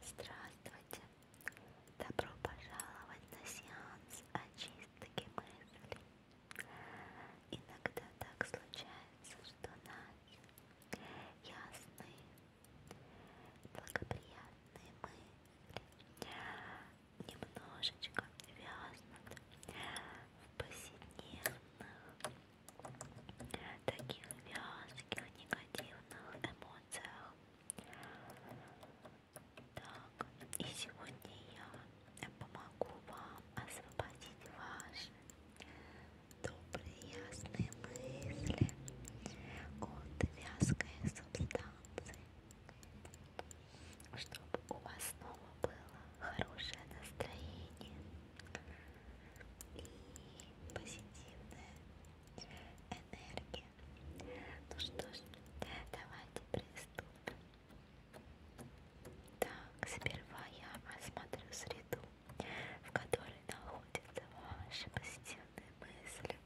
Здравствуйте! Добро пожаловать на сеанс очистки мыслей. Иногда так случается, что наши ясные, благоприятные мысли немножечко вязнут в повседневных таких вязких, негативных эмоциях. Так, и сегодня я помогу вам освободить ваши добрые, ясные мысли от вязкой субстанции, чтобы у вас снова было хорошее настроение и позитивная энергия. Ну что ж, давайте приступим. Э, так, сперва я осмотрю среду, в которой находятся ваши позитивные мысли.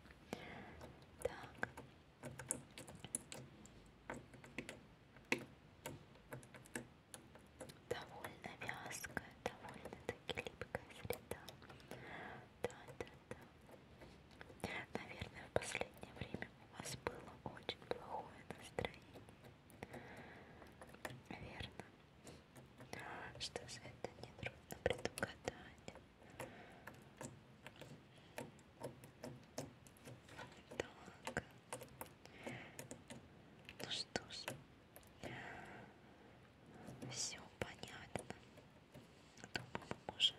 Так довольно вязкая, довольно-таки липкая среда. Да-да-да. Наверное, в последнее время у вас было очень плохое настроение. Верно. Что же это нетрудно предугадать? Так. Ну что ж. Все понятно. Думаю, мы можем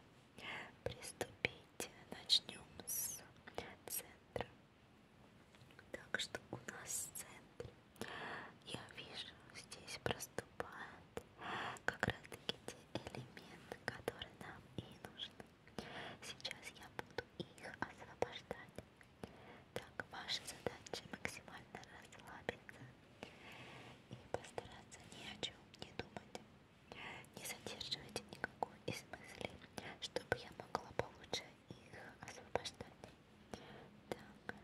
приступить. Начнем с центра. Так что у нас в центре. Я вижу, здесь проступают как раз таки те элементы, которые нам и нужны. Сейчас я буду их освобождать. Так, ваша задача максимально расслабиться и постараться ни о чем не думать. Не задерживайте никакой из мыслей, чтобы я могла получше их освобождать. Так. Так,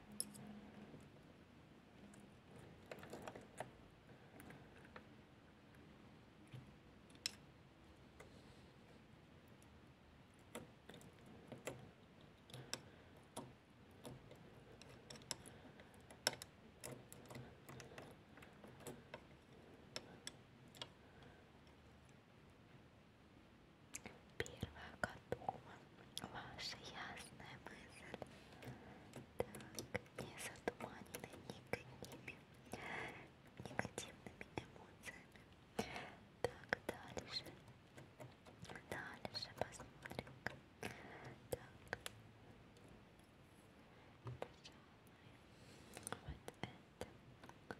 Первая готова. Ваша ясная мысль. Так, не затуманены никакими негативными эмоциями. Так, дальше. Дальше посмотрим. Так. Пожалуй. Вот это. Так,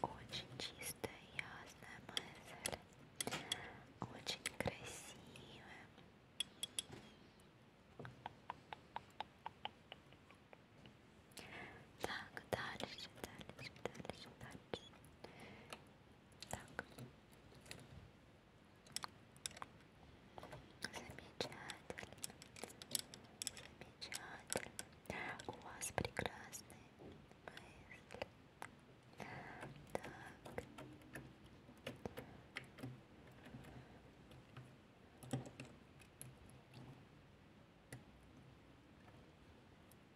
Очень чистая, ясная мысль. Очень красивая. Так, дальше, дальше, дальше, дальше. Так. Замечательно. Замечательно. У вас прекрасные мысли. Так. Так.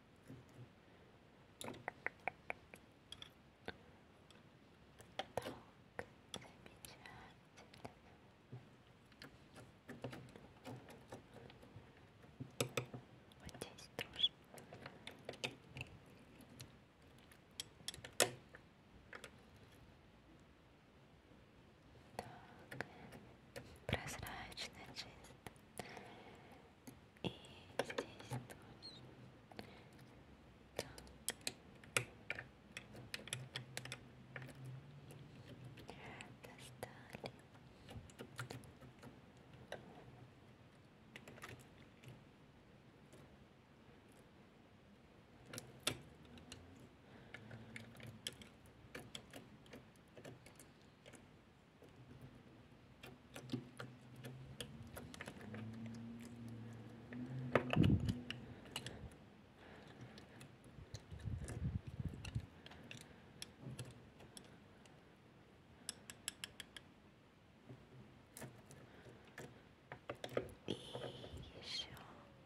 Вот здесь тоже. Так, так, прозрачно, чисто. И здесь тоже. Так. Достали. И еще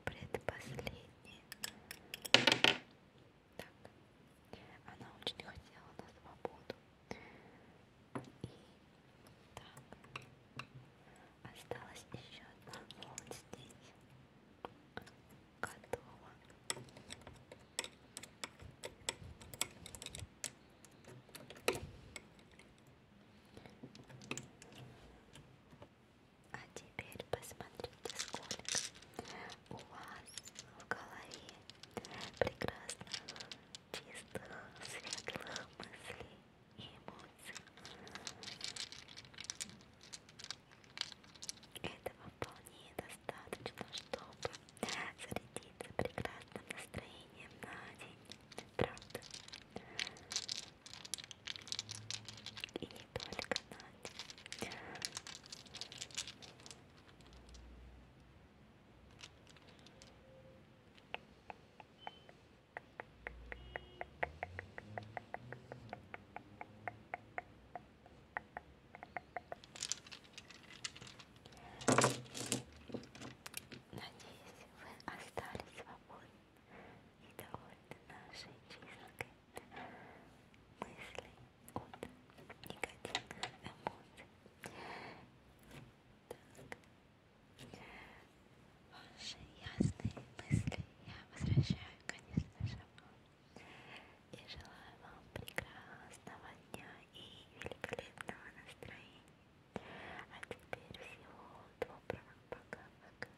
предпоследний так. Она очень хотела на свободу. И так. Осталась еще одна вот здесь. Готово. А теперь посмотрите, сколько у вас в голове прекрасных, чистых, светлых мыслей и эмоций. Этого вполне достаточно, чтобы зарядиться прекрасным настроением на день. Правда? И не только Надя. Надеюсь, вы остались свободны и довольны нашей чистотой мыслей от негативных эмоций. Так. Ваши ясные мысли я возвращаю, конечно же, вам. И желаю вам прекрасного дня и великолепного настроения. А теперь всего доброго. Пока-пока.